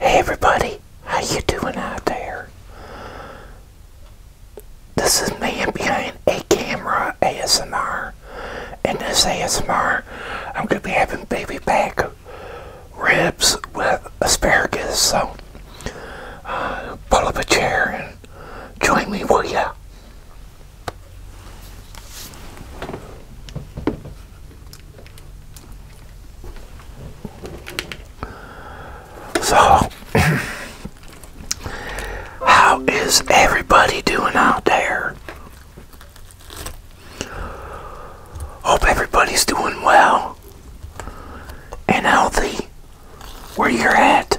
Hey everybody, how you doing out there? This is man behind a camera ASMR. and this ASMR, I'm going to be having baby back ribs with asparagus, so uh, pull up a chair and join me, will ya? So, how is everybody doing out there? Hope everybody's doing well and healthy where you're at.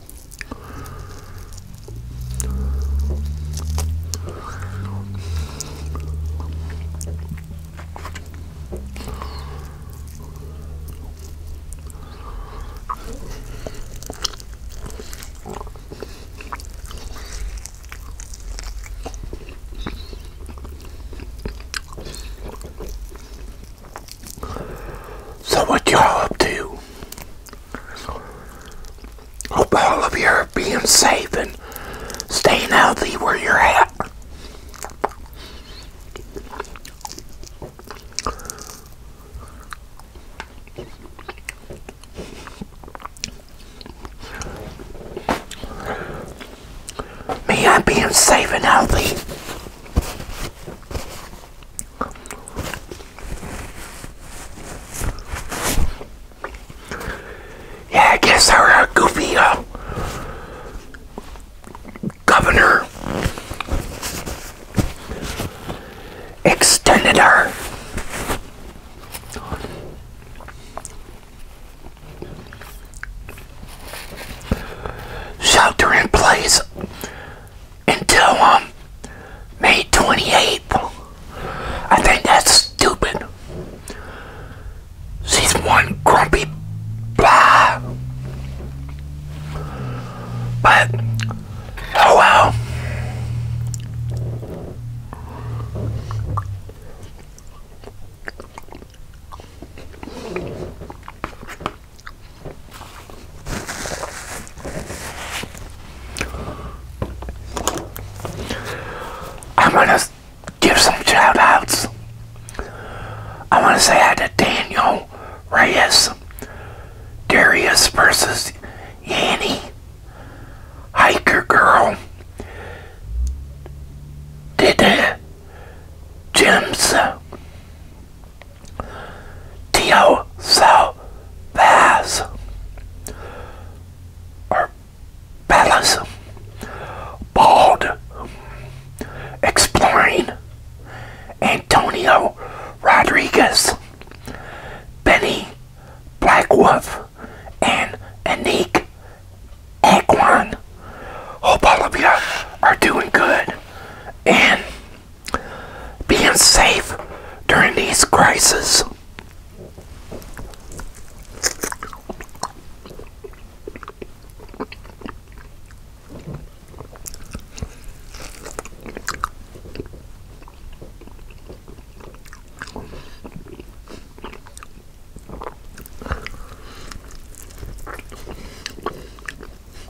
So what y'all up to? Hope all of you are being safe and staying healthy where you're at. Me, I'm being safe and healthy. Yeah, I guess our uh, goofy governor extended our shelter in place until um May 28th. I think that's stupid. She's one grumpy blah. But oh well. I'm gonna give some shout outs. I want to say hi to Daniel Reyes, Darius versus Yanni, Hiker Girl, did Jim's Tio Sal Paz or Palace Bald Exploring Antonio Rodriguez Benny Blackwolf and Anique Aquan. Hope all of you are doing good and being safe during these crises.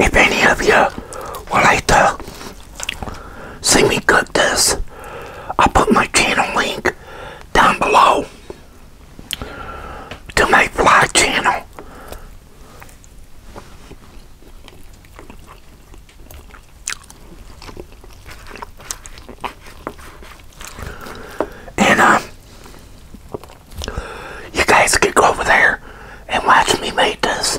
If any of you would like to see me cook this, I'll put my channel link down below to my vlog channel. And, um, you guys could go over there and watch me make this.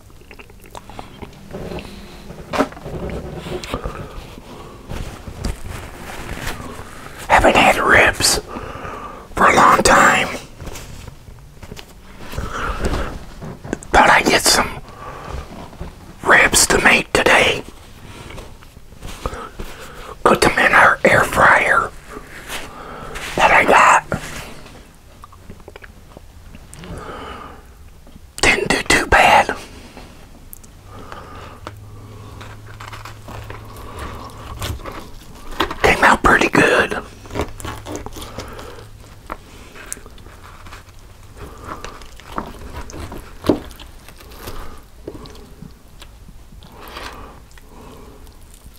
Haven't had ribs for a long time. Thought I'd get some ribs to make today. Put them in our air fryer that I got. Didn't do too bad. Came out pretty good.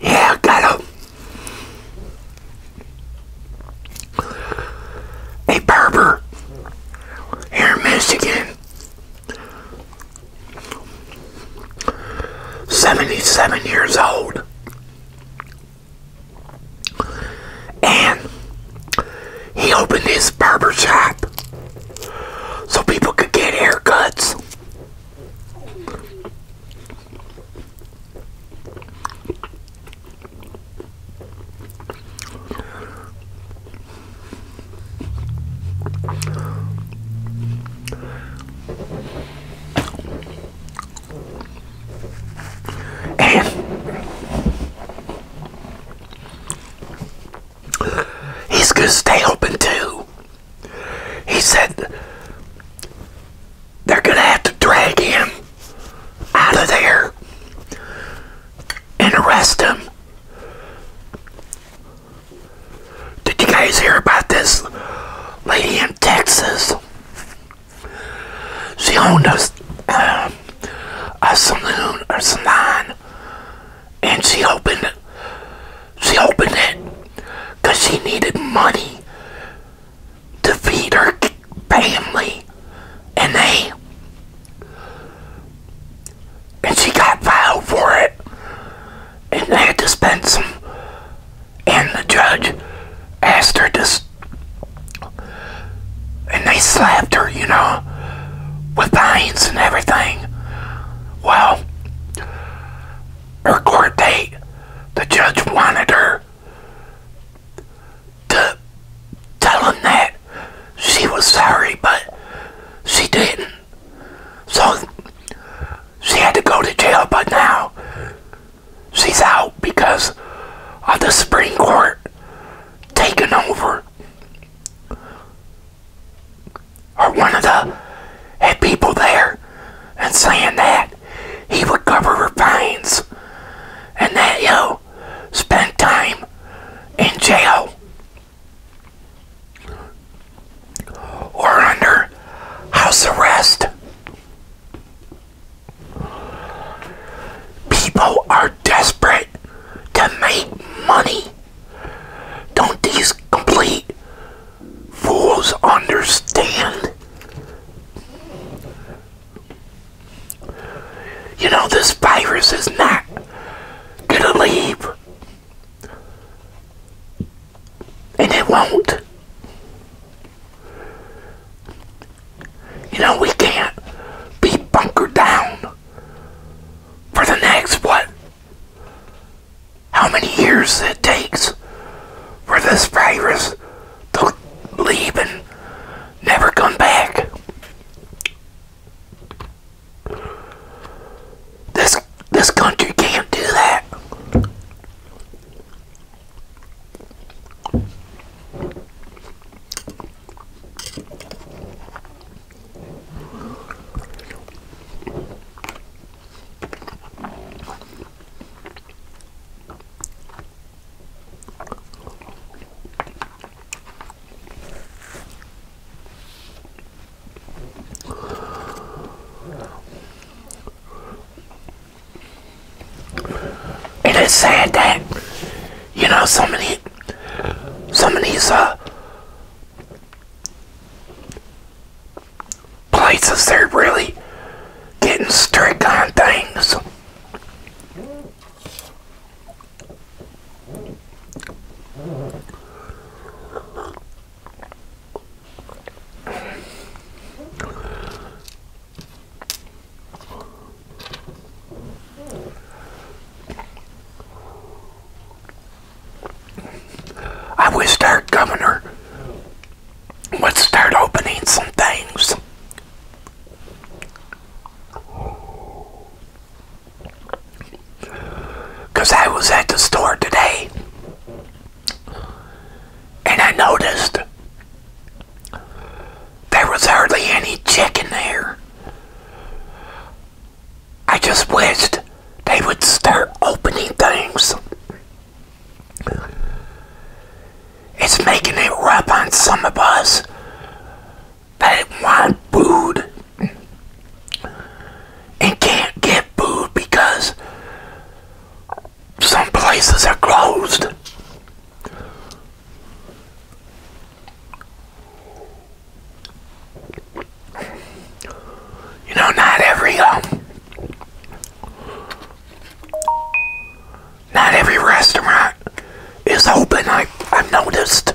Yeah, got him. Hey, barber here in Michigan 77 years old. And he opened his barber shop so people could get haircuts he's going to stay open too. He said they're going to have to drag him out of there and arrest him. Did you guys hear about this lady in Texas? She owned a, uh, a saloon, and she opened She opened it because she needed money to feed her family and they and she got filed for it and they had to spend some and the judge asked her to and they slapped her you know with fines and everything well her court date the judge wanted her to tell him that she was sorry, but she didn't. So she had to go to jail, but now she's out because of the Supreme Court taking over. Or one of the people there and saying that he would cover her fines and that, yo, Spend time in jail or under house arrest. People are desperate to make money. Don't these complete fools understand? You know, this virus is not gonna leave. And it won't. You know, we can't be bunker down for the next, what, how many years it takes for this virus to leave and never come back. This this country can't do that. It is sad that you know so many some of these uh places they're really getting strict on things. I wish, our Governor, would start opening some things. Because I was at the store today and I noticed there was hardly any chicken there. I just wished they would start opening things it's making it rough on some of us that want food and can't get food because some places are closed. You know, not every um, not every restaurant is open, I, I've noticed.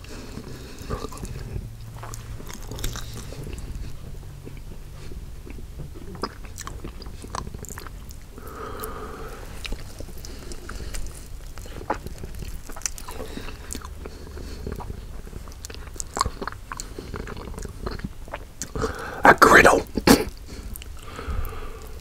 A griddle.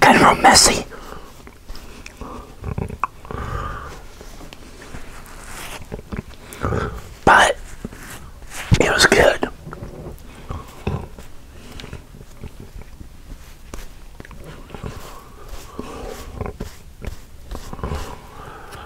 Kind of messy. But it was good.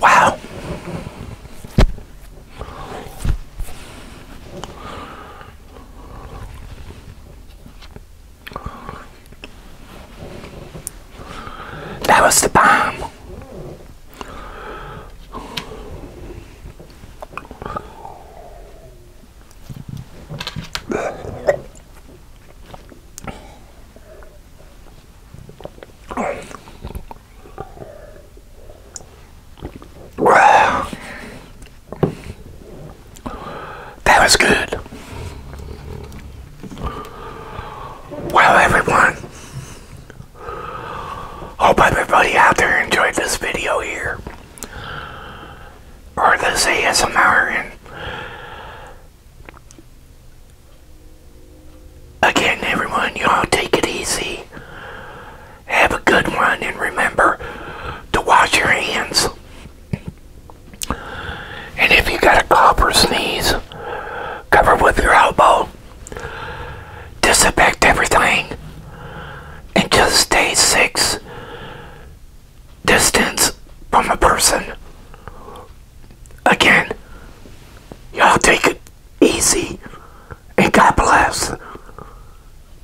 Wow. That was the bomb. That was good. Well, everyone, hope everybody out there enjoyed this video here, or this ASMR, Again, everyone, you all take it easy. Have a good one, and remember to wash your hands. And if you got a cough or sneeze, cover with your elbow. Disinfect everything. And just stay six distance from a person again, y'all take it easy and God bless.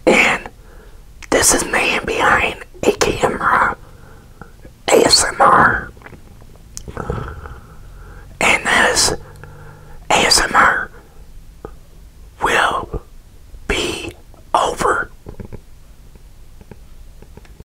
And this is man behind a camera ASMR. And this ASMR will be over.